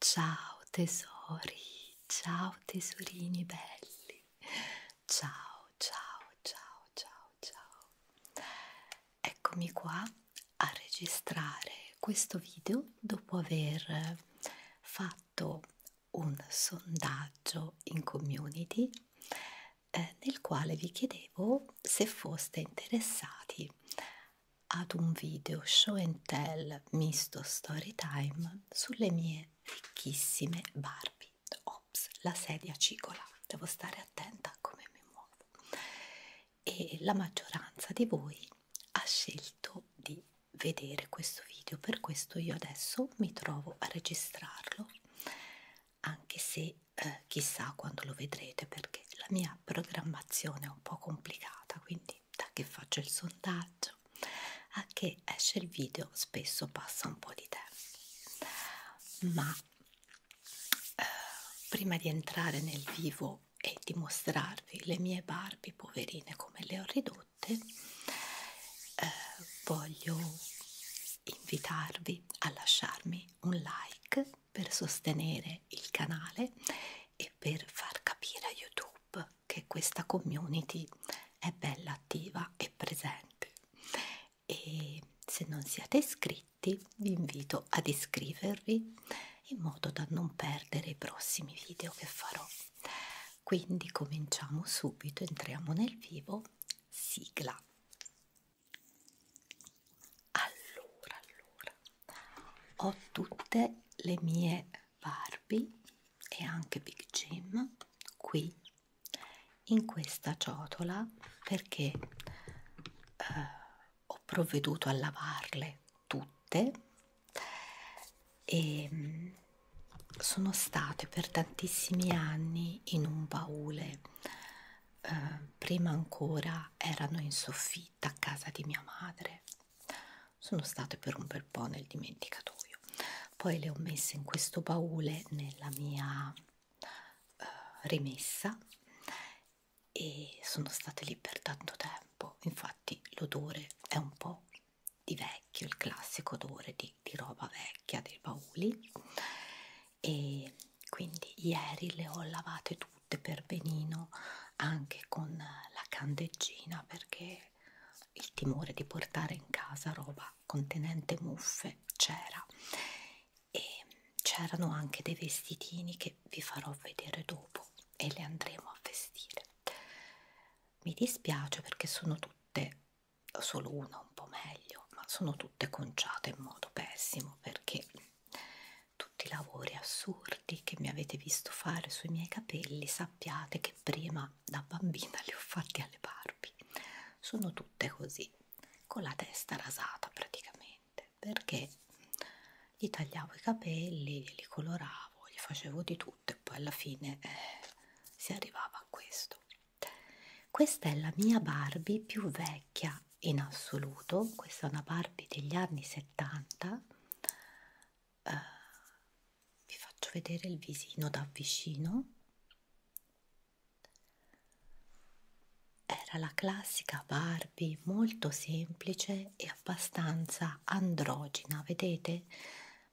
Ciao tesori, ciao tesorini belli, ciao ciao ciao ciao ciao. Eccomi qua a registrare questo video dopo aver fatto un sondaggio in community eh, nel quale vi chiedevo se foste interessati ad un video show and tell misto story time sulle mie ricchissime Barbie. Ops, la sedia cicola, devo stare attenta a come mi muovo. E la maggioranza di voi ha scelto di vedere questo video, per questo io adesso mi trovo a registrarlo anche se eh, chissà quando lo vedrete perché la mia programmazione è un po' complicata quindi da che faccio il sondaggio a che esce il video spesso passa un po' di tempo ma eh, prima di entrare nel vivo e dimostrarvi le mie Barbie poverine come le ho ridotte notte eh, voglio invitarvi a lasciarmi un like per sostenere il canale e per far capire a YouTube che questa community è bella attiva e presente e se non siete iscritti vi invito ad iscrivervi in modo da non perdere i prossimi video che farò quindi cominciamo subito entriamo nel vivo sigla allora allora ho tutte le mie Barbie e anche Big Jim qui in questa ciotola perché eh, ho provveduto a lavarle tutte e ehm, sono state per tantissimi anni in un baule, eh, prima ancora erano in soffitta a casa di mia madre, sono state per un bel po' nel dimenticatoio, poi le ho messe in questo baule nella mia eh, rimessa e sono state lì per tanto tempo, infatti l'odore è un po' di vecchio, il classico odore di, di roba vecchia dei bauli e quindi ieri le ho lavate tutte per benino anche con la candeggina perché il timore di portare in casa roba contenente muffe c'era e c'erano anche dei vestitini che vi farò vedere dopo e le andremo a vestire mi dispiace perché sono tutte solo una un po' meglio, ma sono tutte conciate in modo pessimo perché tutti i lavori assurdi che mi avete visto fare sui miei capelli sappiate che prima da bambina li ho fatti alle Barbie. Sono tutte così, con la testa rasata praticamente, perché gli tagliavo i capelli, li coloravo, gli facevo di tutto tutto e poi alla fine eh, si arrivava a questo questa è la mia Barbie più vecchia in assoluto questa è una Barbie degli anni 70 uh, eh, vi faccio vedere il visino da vicino era la classica Barbie molto semplice e abbastanza androgina vedete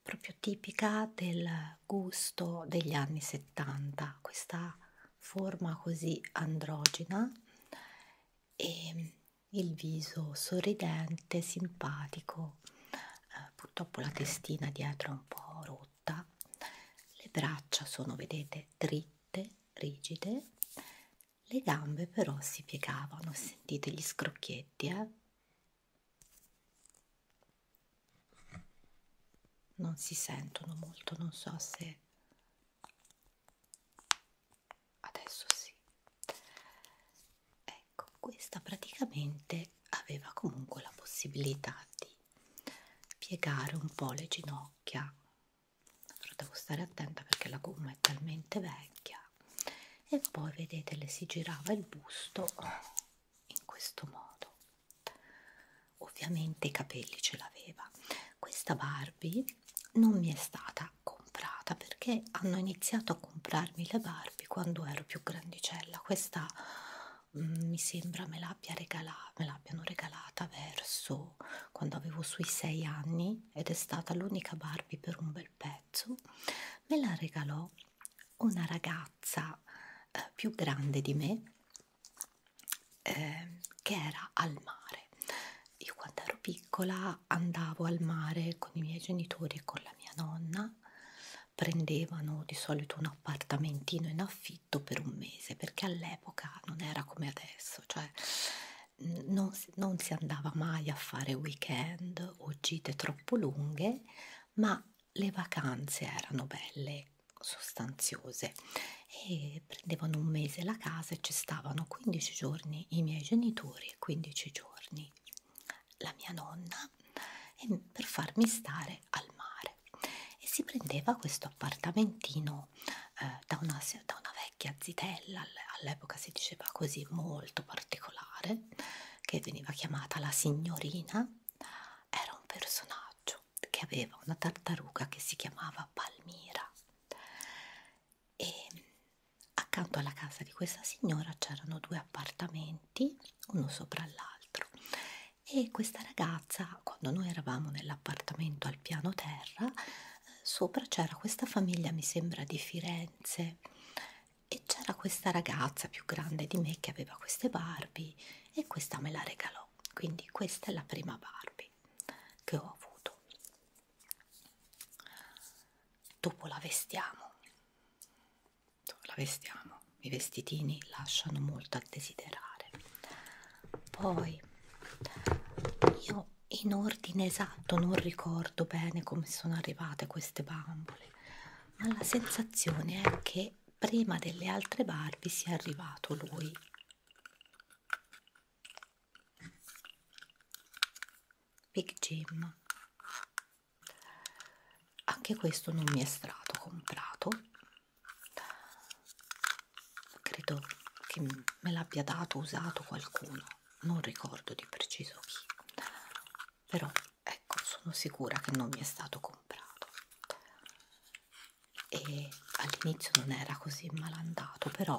proprio tipica del gusto degli anni 70, questa forma così androgina e il viso sorridente, simpatico, eh, purtroppo la testina dietro è un po' rotta, le braccia sono, vedete, dritte, rigide, le gambe però si piegavano, sentite gli scrocchietti, eh? non si sentono molto, non so se adesso sì. Ecco, questa praticamente aveva comunque la possibilità di piegare un po' le ginocchia, però devo stare attenta perché la gomma è talmente vecchia e poi vedete le si girava il busto in questo modo ovviamente i capelli ce l'aveva questa Barbie non mi è stata comprata perché hanno iniziato a comprarmi le Barbie quando ero più grandicella questa mh, mm, mi sembra me l'abbia regalata me l'abbiano regalata verso quando avevo sui sei anni ed è stata l'unica Barbie per un bel pezzo pezzo me la regalò una ragazza eh, più grande di me eh, che era al mare. Io quando ero piccola andavo al mare con i miei genitori e con la mia nonna, prendevano di solito un appartamentino in affitto per un mese perché all'epoca non era come adesso, cioè non si, non si andava mai a fare weekend o gite troppo lunghe ma le vacanze erano belle, sostanziose e prendevano un mese la casa e ci stavano 15 giorni i miei genitori e 15 giorni la mia nonna e per farmi stare al mare e si prendeva questo appartamentino eh, da, una, da una vecchia zitella all'epoca si diceva così molto particolare che veniva chiamata la signorina era un personaggio che aveva una tartaruga che si chiamava Palmira e accanto alla casa di questa signora c'erano due appartamenti uno sopra l'altro e questa ragazza quando noi eravamo nell'appartamento al piano terra sopra c'era questa famiglia mi sembra di Firenze e c'era questa ragazza più grande di me che aveva queste Barbie e questa me la regalò quindi questa è la prima Barbie che ho avuto dopo la vestiamo la vestiamo i vestitini lasciano molto a desiderare poi io in ordine esatto non ricordo bene come sono arrivate queste bambole particolare, ma la sensazione è che prima delle altre Barbie sia arrivato lui. Big Jim. Anche questo non mi è stato comprato. Credo che me l'abbia dato usato qualcuno, non ricordo di preciso chi. Però ecco sono sicura che non mi è stato comprato e all'inizio non era così malandato però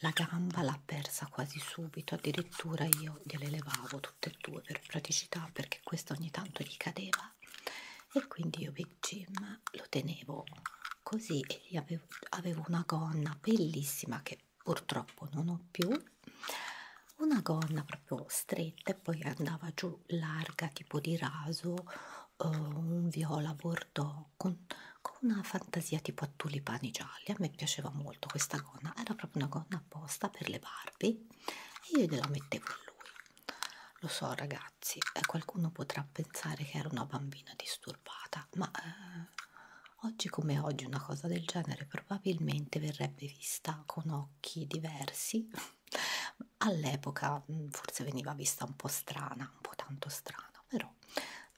la gamba l'ha persa quasi subito addirittura io gliele levavo tutte e due per praticità perché questa ogni tanto gli cadeva e quindi io Big Jim lo tenevo così e avevo, avevo una gonna bellissima che purtroppo non ho più una gonna proprio stretta e poi andava giù larga tipo di raso eh, un viola bordeaux con, con una fantasia tipo a tulipani gialli a me piaceva molto questa gonna era proprio una gonna apposta per le Barbie e io gliela mettevo a lui lo so ragazzi eh, qualcuno potrà pensare che era una bambina disturbata ma eh, Oggi come oggi una cosa del genere probabilmente verrebbe vista con occhi diversi, all'epoca mm, forse veniva vista un po' strana, un po' tanto strana, però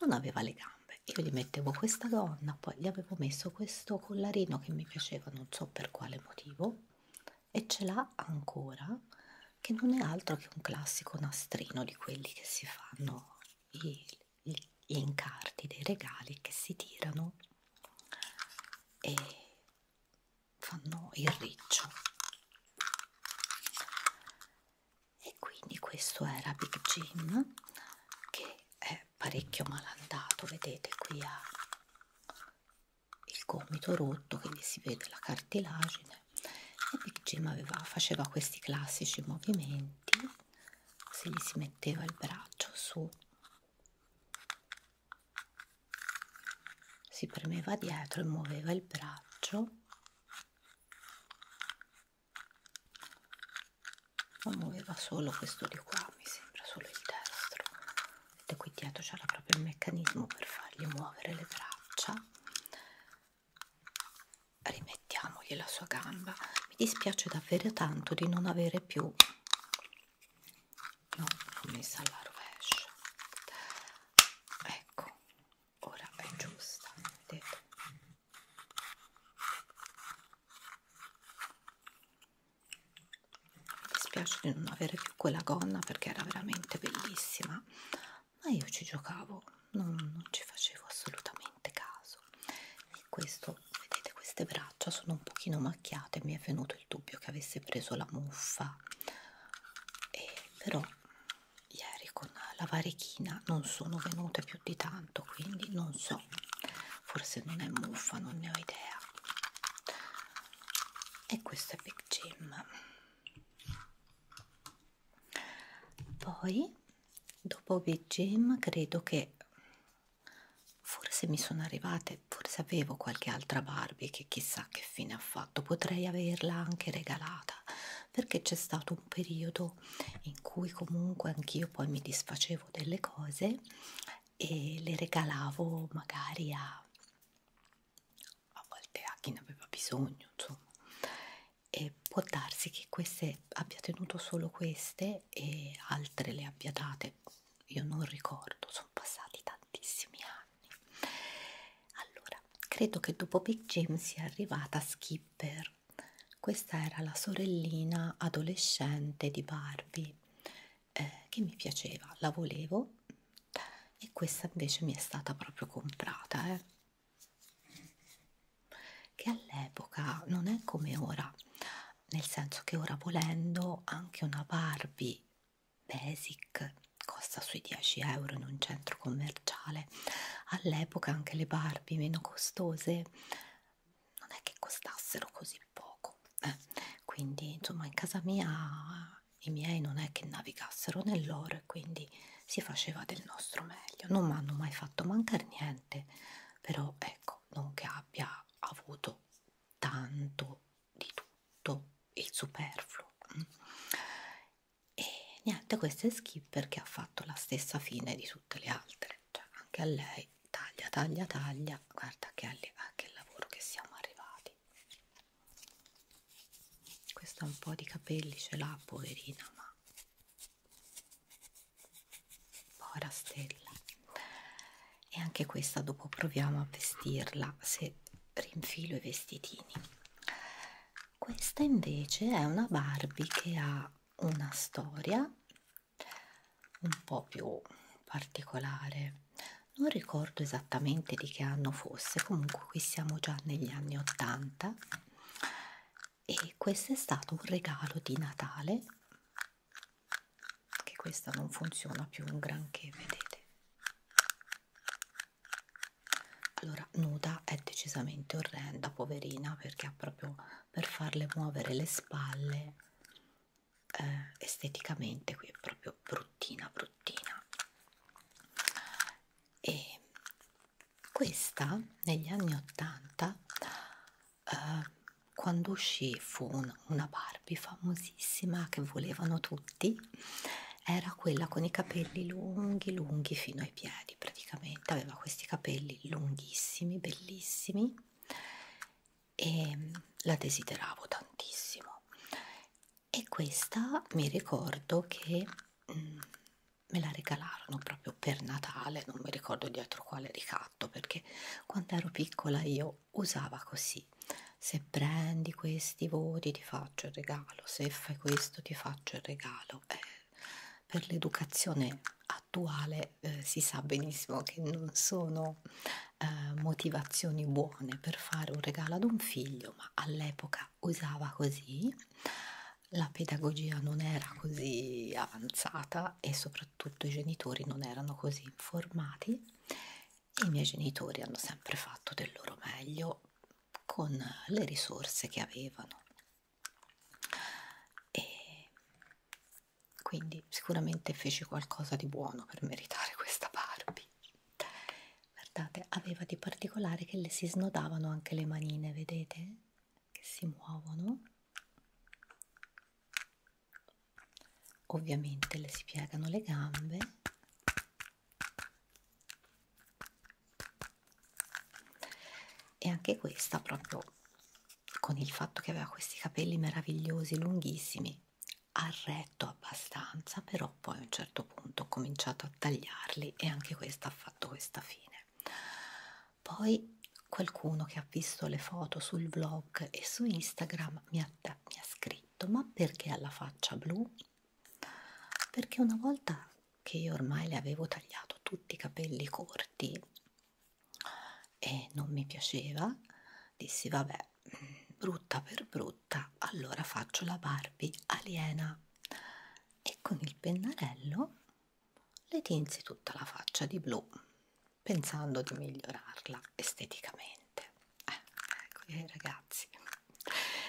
non aveva le gambe. Io gli mettevo questa gonna, poi gli avevo messo questo collarino che mi piaceva non so per quale motivo e ce l'ha ancora, che non è altro che un classico nastrino di quelli che si fanno i, gli incarti dei regali che si tirano e fanno il riccio e quindi questo era Big Jim che è parecchio malandato vedete qui ha il gomito rotto quindi si vede la cartilagine e Big Jim aveva, faceva questi classici movimenti se gli si metteva il braccio su si premeva dietro e muoveva il braccio o muoveva solo questo di qua mi sembra solo il destro vedete qui dietro c'era proprio il meccanismo per fargli muovere le braccia rimettiamogli la sua gamba mi dispiace davvero tanto di non avere più no, l'ho messa alla rovescia ecco ora è giusta vedete mi dispiace di non avere più quella gonna perché era veramente bellissima ma io ci giocavo non, non ci facevo assolutamente caso e questo vedete queste braccia sono un pochino macchiate mi è venuto il dubbio che avesse preso la muffa e però ieri con la varechina non sono venute più di tanto quindi non so forse non è muffa non ne ho idea e questo è Big Jim poi dopo VGM credo che forse mi sono arrivate forse avevo qualche altra Barbie che chissà che fine ha fatto potrei averla anche regalata perché c'è stato un periodo in cui comunque anch'io poi mi disfacevo delle cose e le regalavo magari a a volte a chi ne aveva bisogno insomma e può darsi che queste abbia tenuto solo queste e altre le abbia date io non ricordo sono passati tantissimi anni allora credo che dopo Big James sia arrivata Skipper questa era la sorellina adolescente di Barbie eh, che mi piaceva la volevo e questa invece mi è stata proprio comprata eh che all'epoca non è come ora, nel senso che ora volendo anche una Barbie basic costa sui 10 euro in un centro commerciale, all'epoca anche le Barbie meno costose non è che costassero così poco, eh, quindi insomma in casa mia i miei non è che navigassero nell'oro e quindi si faceva del nostro meglio, non mi hanno mai fatto mancare niente niente però ecco non che abbia avuto tanto di tutto il superfluo e niente questa è Skipper che ha fatto la stessa fine di tutte le altre cioè anche a lei taglia taglia taglia guarda che, alle, a che lavoro che siamo arrivati questa un po' di capelli ce l'ha poverina ma Povera stella. E anche questa dopo proviamo a vestirla se rinfilo i vestitini. Questa invece è una Barbie che ha una storia un po' più particolare. Non ricordo esattamente di che anno fosse, comunque qui siamo già negli anni 80 e questo è stato un regalo di Natale che questa non funziona più un granché vedete allora nuda è decisamente orrenda poverina perché ha proprio per farle muovere le spalle eh, esteticamente qui è proprio bruttina bruttina e questa negli anni 80, eh, quando uscì, fu un, una Barbie famosissima che volevano tutti. Era quella con i capelli lunghi, lunghi fino ai piedi praticamente. Aveva questi capelli lunghissimi, bellissimi e mm, la desideravo tantissimo. E questa mi ricordo che mh, mm, me la regalarono proprio per Natale, non mi ricordo dietro quale ricatto, perché quando ero piccola io usava così, se prendi questi voti ti faccio il regalo, se fai questo ti faccio il regalo. Eh, per l'educazione attuale eh, si sa benissimo che non sono eh, motivazioni buone per fare un regalo ad un figlio, ma all'epoca usava così la pedagogia non era così avanzata e soprattutto i genitori non erano così informati e i miei genitori hanno sempre fatto del loro meglio con le risorse che avevano e quindi sicuramente feci qualcosa di buono per meritare questa Barbie guardate aveva di particolare che le si snodavano anche le manine vedete che si muovono ovviamente le si piegano le gambe e anche questa proprio con il fatto che aveva questi capelli meravigliosi lunghissimi ha retto abbastanza però poi a un certo punto ho cominciato a tagliarli e anche questa ha fatto questa fine poi qualcuno che ha visto le foto sul vlog e su Instagram mi ha, mi ha scritto ma perché ha la faccia blu? Perché una volta che io ormai le avevo tagliato tutti i capelli corti e non mi piaceva, dissi vabbè brutta per brutta allora faccio la Barbie aliena e con il pennarello le tinsi tutta la faccia di blu pensando di migliorarla esteticamente eh, ecco eh, ragazzi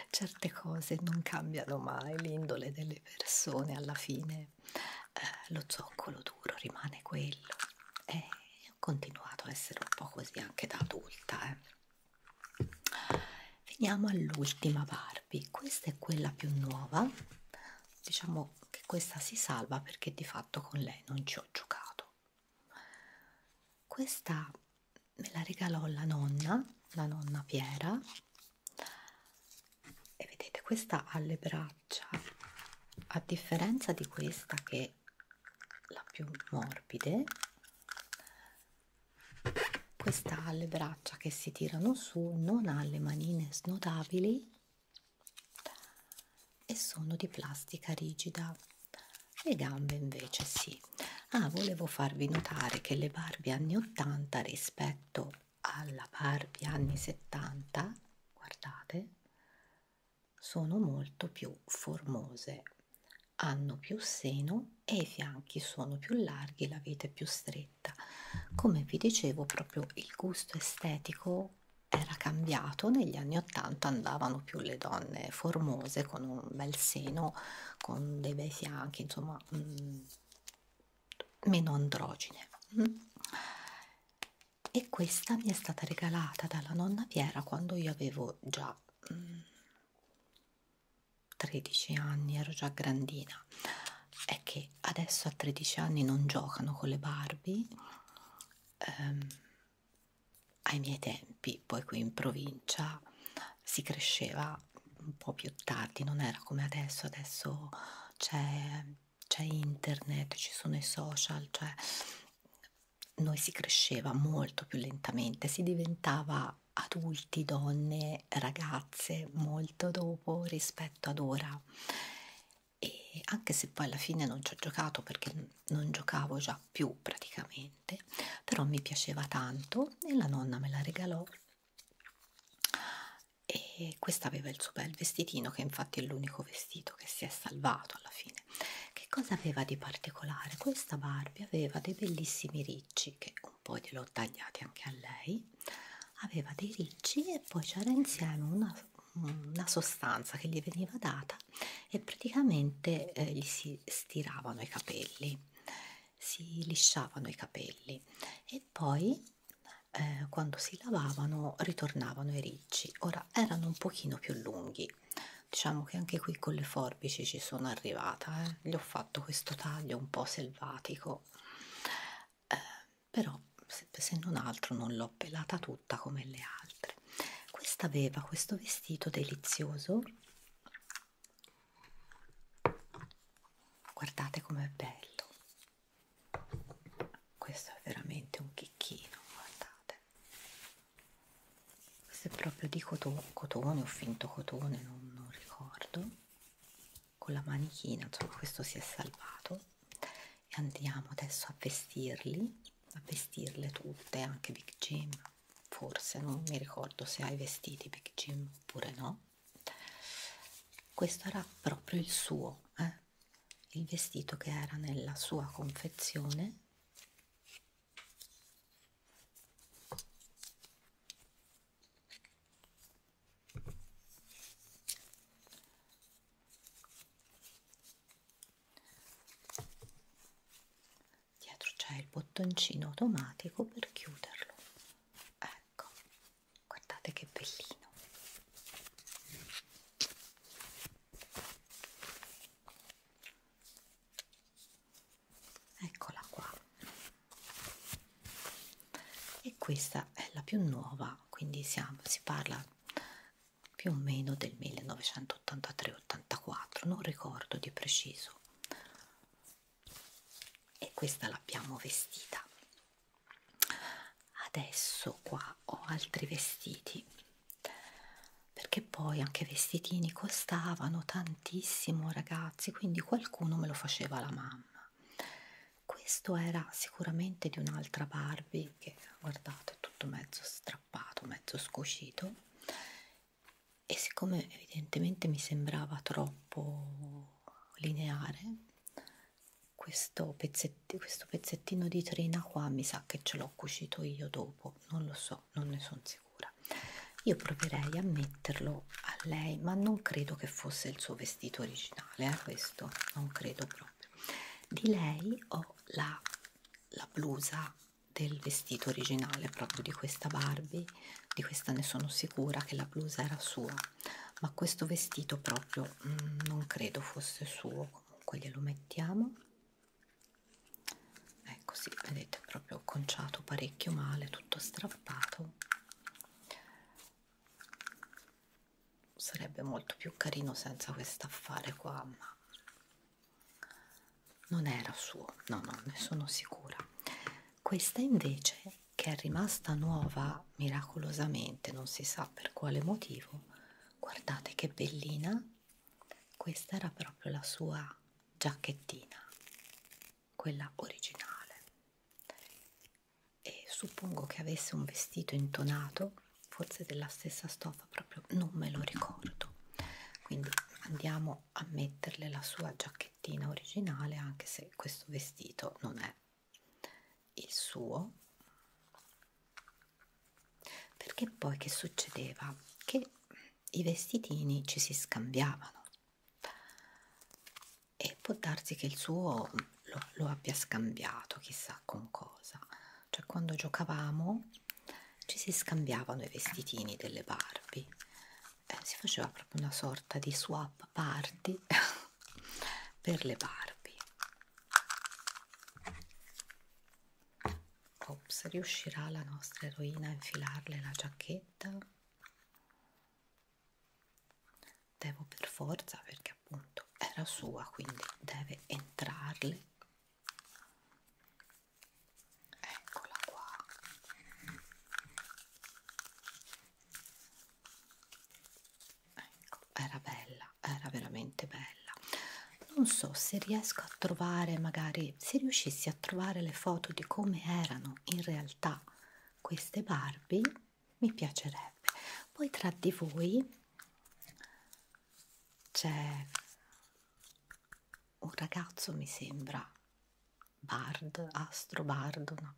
certe cose non cambiano mai l'indole delle persone alla fine eh, lo zoccolo duro rimane quello e eh, ho continuato a essere un po' così anche da adulta eh. veniamo all'ultima barba Barbie questa è quella più nuova diciamo che questa si salva perché di fatto con lei non ci ho giocato questa me la regalò la nonna la nonna Piera e vedete questa ha le braccia a differenza di questa che è la più morbide questa ha le braccia che si tirano su non ha le manine snodabili e sono di plastica rigida le gambe invece sì ah volevo farvi notare che le barbie anni 80 rispetto alla barbie anni 70 guardate sono molto più formose hanno più seno e i fianchi sono più larghi la vita è più stretta scritta come vi dicevo proprio il gusto estetico era cambiato negli anni 80 andavano più le donne formose con un bel seno con dei bei fianchi insomma mh, mm, meno androgine mh. Mm. e questa mi è stata regalata dalla nonna Piera quando io avevo già mh, mm, 13 anni ero già grandina è che adesso a 13 anni non giocano con le Barbie ehm, ai miei tempi poi qui in provincia si cresceva un po' più tardi non era come adesso adesso c'è internet ci sono i social cioè noi si cresceva molto più lentamente si diventava da adulti, donne, ragazze molto dopo rispetto ad ora e anche se poi alla fine non ci ho giocato perché non giocavo già più praticamente però mi piaceva tanto e la nonna me la regalò e questa aveva il suo bel vestitino che infatti è l'unico vestito che si è salvato alla fine che cosa aveva di particolare? questa Barbie aveva dei bellissimi ricci che un po' gliel'ho tagliati anche a lei aveva dei ricci e poi c'era insieme una, una sostanza che gli veniva data e praticamente eh, gli si stiravano i capelli si lisciavano i capelli e poi eh, quando si lavavano ritornavano i ricci ora erano un pochino più lunghi diciamo che anche qui con le forbici ci sono arrivata eh. gli ho fatto questo taglio un po' se selvatico eh, però se, se non altro non l'ho pelata tutta come le altre questa aveva questo vestito delizioso guardate com'è bello questo è veramente un chicchino guardate questo è proprio di cotone, cotone o finto cotone non, non ricordo con la manichina insomma questo si è salvato e andiamo adesso a vestirli a vestirle tutte anche Big Jim forse non mi ricordo se hai vestiti Big Jim oppure no questo era proprio il suo eh? il vestito che era nella sua confezione dietro c'è il bottoncino automatico per chiuderlo ecco guardate che bellino eccola qua e questa è la più nuova quindi siamo, si parla più o meno del 1983-84 non ricordo di preciso e questa l'abbiamo vestita adesso qua ho altri vestiti perché poi anche vestitini costavano tantissimo ragazzi ragazzi, quindi qualcuno me lo faceva la mamma. Questo era sicuramente di un'altra Barbie che guardate è tutto mezzo strappato, mezzo scocito e siccome evidentemente mi sembrava troppo lineare questo pezzettino, questo pezzettino di trina qua mi sa che ce l'ho cucito io dopo, non lo so so, non ne sono sicura. Io proverei a metterlo a lei, ma non credo che fosse il suo vestito originale, eh, questo non credo proprio. Di lei ho la, la blusa del vestito originale, proprio di questa Barbie, di questa ne sono sicura che la blusa era sua, ma questo vestito proprio mm, non credo fosse suo, comunque glielo mettiamo ecco sì vedete proprio conciato parecchio male tutto strappato sarebbe molto più carino senza quest'affare qua ma non era suo no no ne sono sicura questa invece che è rimasta nuova miracolosamente non si sa per quale motivo guardate che bellina questa era proprio la sua giacchettina quella originale e suppongo che avesse un vestito intonato forse della stessa stoffa proprio non me lo ricordo quindi andiamo a metterle la sua giacchettina originale anche se questo vestito non è il suo perché poi che succedeva che i vestitini ci si scambiavano e può darsi che il suo lo, lo abbia scambiato chissà con cosa cioè quando giocavamo ci si scambiavano i vestitini delle Barbie eh, si faceva proprio una sorta di swap party per le Barbie Ops, riuscirà la nostra eroina a infilarle la giacchetta? devo per forza perché appunto era sua quindi deve entrarle eccola qua ecco era bella era veramente bella non so se riesco a a trovare magari se riuscissi a trovare le foto di come erano in realtà queste Barbie mi piacerebbe poi tra di voi c'è un ragazzo mi sembra Bard, Astro Bard, no.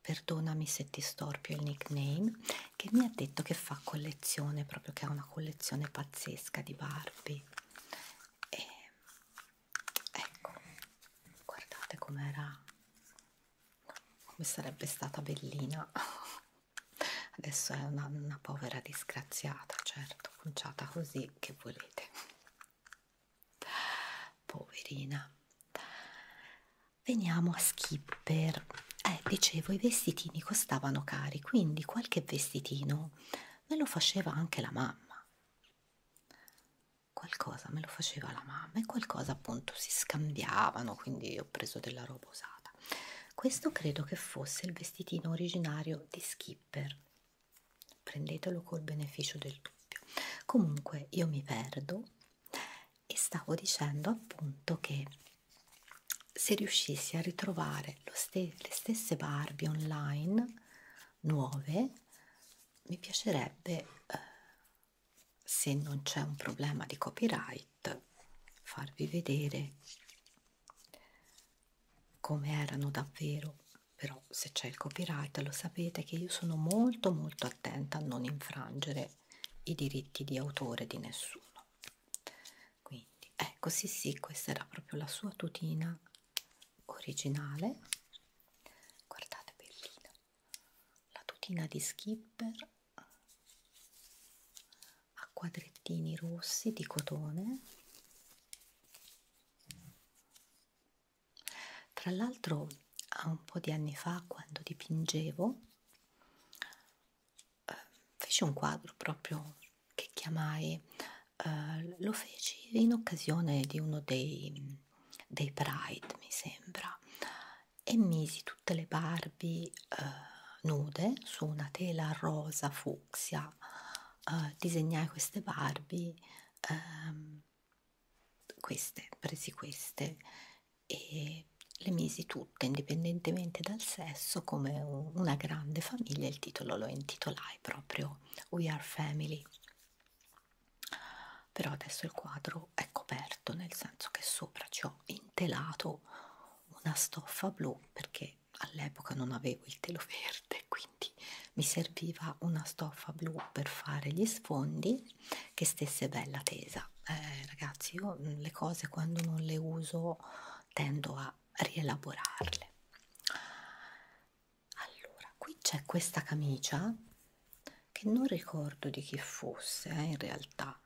perdonami se ti storpio il nickname, che mi ha detto che fa collezione, proprio che ha una collezione pazzesca di Barbie. E ecco guardate com'era come sarebbe stata bellina adesso è una, una povera disgraziata certo conciata così che volete poverina veniamo a skipper eh dicevo i vestitini costavano cari quindi qualche vestitino me lo faceva anche la mamma qualcosa me lo faceva la mamma e qualcosa appunto si scambiavano quindi ho preso della roba usata questo credo che fosse il vestitino originario di Skipper prendetelo col beneficio del dubbio comunque io mi perdo e stavo dicendo appunto che se riuscissi a ritrovare lo ste le stesse Barbie online nuove mi piacerebbe eh, se non c'è un problema di copyright farvi vedere come erano davvero però se c'è il copyright lo sapete che io sono molto molto attenta a non infrangere i diritti di autore di nessuno quindi ecco sì sì questa era proprio la sua tutina originale guardate bellina la tutina di skipper a quadrettini rossi di cotone tra l'altro a un po' di anni fa quando dipingevo eh, feci un quadro proprio che chiamai eh, lo feci in occasione di uno dei, dei Pride, mi sembra, e misi tutte le Barbie eh, nude su una tela rosa fucsia. Eh, disegnai queste Barbie, ehm, queste, presi queste e le misi tutte indipendentemente dal sesso come una grande famiglia il titolo lo intitolai proprio We Are Family però adesso il quadro è coperto nel senso che sopra ci ho intelato una stoffa blu perché all'epoca non avevo il telo verde quindi mi serviva una stoffa blu per fare gli sfondi che stesse bella tesa eh, ragazzi io le cose quando non le uso tendo a a rielaborarle. Allora, qui c'è questa camicia che non ricordo di chi fosse eh, in realtà,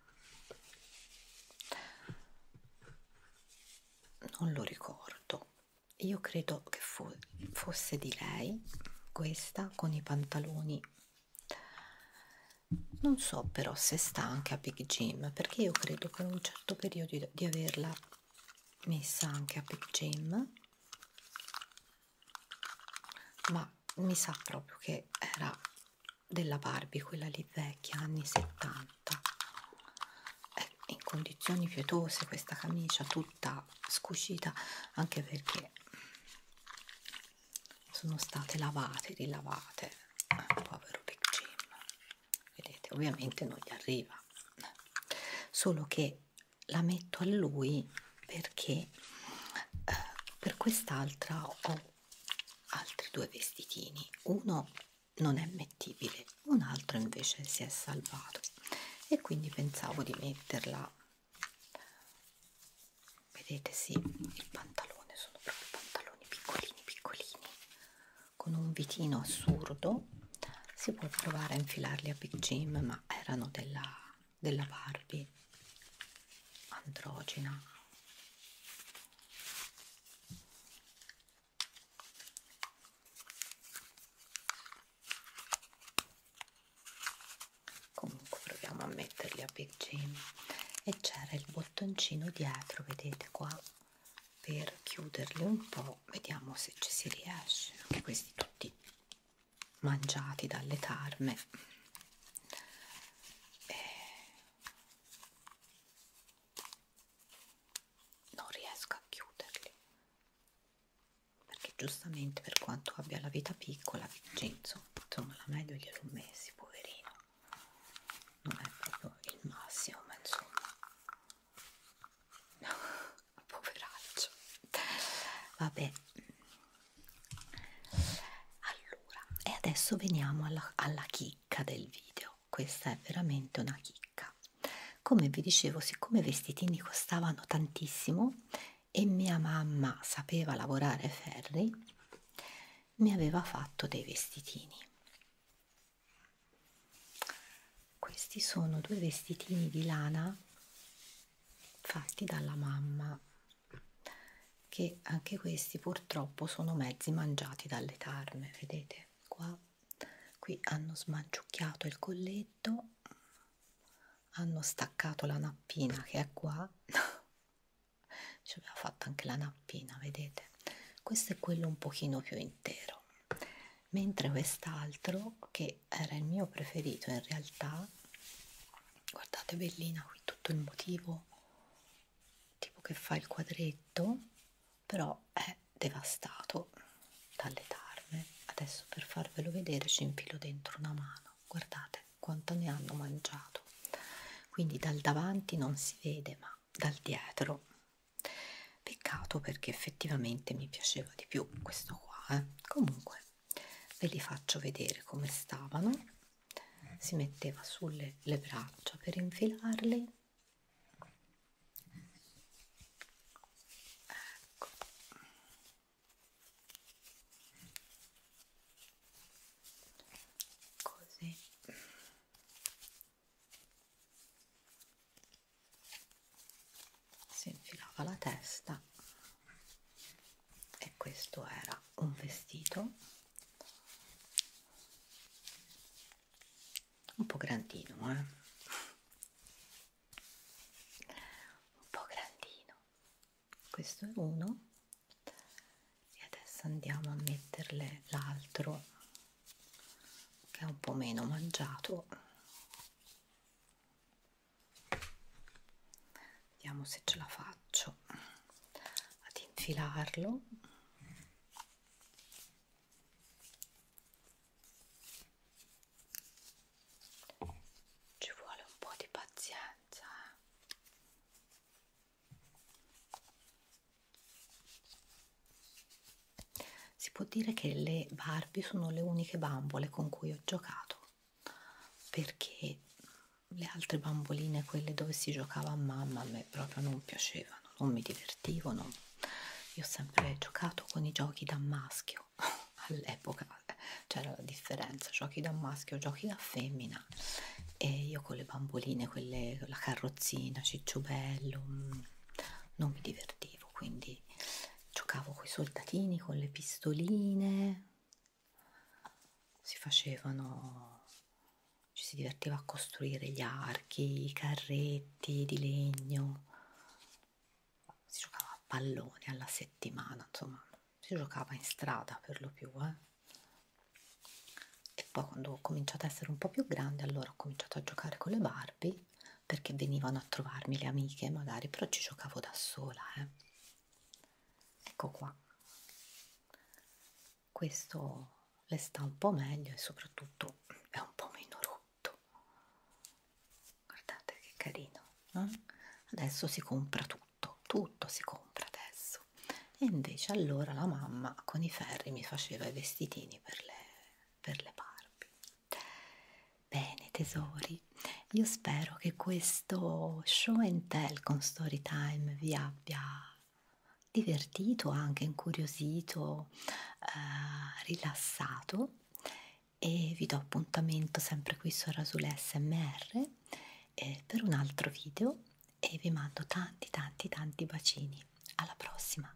non lo ricordo. Io credo che fo fosse di lei questa con i pantaloni. Non so però se sta anche a Big Jim perché io credo per un certo periodo di averla messa anche a Big Jim ma mi sa proprio che era della Barbie quella lì vecchia anni 70 è in condizioni pietose questa camicia tutta scucita anche perché sono state lavate rilavate eh, povero Big Jim vedete ovviamente non gli arriva solo che la metto a lui perché eh, per quest'altra ho altri due vestitini uno non è mettibile un altro invece si è salvato e quindi pensavo di metterla vedete sì il pantalone sono proprio pantaloni piccolini piccolini con un vitino assurdo si può provare a infilarli a Big Jim ma erano della, della Barbie androgina comunque proviamo a metterli a Big Jim e c'era il bottoncino dietro vedete qua per chiuderli un po', vediamo se ci si riesce, anche questi tutti mangiati dalle tarme. E eh, non riesco a chiuderli perché giustamente per quanto abbia la vita piccola Vincenzo cioè, insomma la meglio gliel'ho messi poverino non è proprio il massimo ma insomma poveraccio vabbè allora e adesso veniamo alla, alla chicca del video questa è veramente una chicca come vi dicevo siccome i vestitini costavano tantissimo e mia mamma sapeva lavorare ferri mi aveva fatto dei vestitini questi sono due vestitini di lana fatti dalla mamma che anche questi purtroppo sono mezzi mangiati dalle tarme, vedete? Qua qui hanno smanciucchiato il colletto, hanno staccato la nappina che è qua. Ci doveva fatta anche la nappina vedete questo è quello un pochino più intero mentre quest'altro che era il mio preferito in realtà guardate bellina qui tutto il motivo tipo che fa il quadretto però è devastato dalle tarme adesso per farvelo vedere ci infilo dentro una mano guardate quanto ne hanno mangiato quindi dal davanti non si vede ma dal dietro peccato perché effettivamente mi piaceva di più questo qua eh. comunque ve li faccio vedere come stavano si metteva sulle le braccia per infilarli ecco così si infilava la testa e questo era un vestito un po' grandino eh? un po' grandino questo è uno e adesso andiamo a metterle l'altro che è un po' meno mangiato vediamo se ce la faccio ad infilarlo ci vuole un po' di pazienza eh? Si può dire che le Barbie sono le uniche bambole con cui ho giocato perché le altre bamboline, quelle dove si giocava a mamma, a me proprio non piacevano, non mi divertivano. Io ho sempre giocato con i giochi da maschio all'epoca cioè, c'era la differenza giochi da maschio giochi da femmina e io con le bamboline, quelle, con la carrozzina, cicciubello, mm, non mi divertivo, quindi giocavo con i soldatini, con le pistoline, si facevano, ci si divertiva a costruire gli archi, i carretti di legno, si giocava a pallone alla settimana, insomma si giocava in strada per lo più, eh e poi quando ho cominciato ad essere un po' più grande allora ho cominciato a giocare con le Barbie perché venivano a trovarmi le amiche magari però ci giocavo da sola eh. ecco qua questo le sta un po' meglio e soprattutto è un po' meno rotto guardate che carino eh? adesso si compra tutto tutto si compra adesso e invece allora la mamma con i ferri mi faceva i vestitini per le, per le Barbie. Bene tesori, io spero che questo show and tell con Storytime vi abbia divertito, anche incuriosito, eh, rilassato e vi do appuntamento sempre qui su Rasul SMR eh, per un altro video e vi mando tanti tanti tanti bacini alla prossima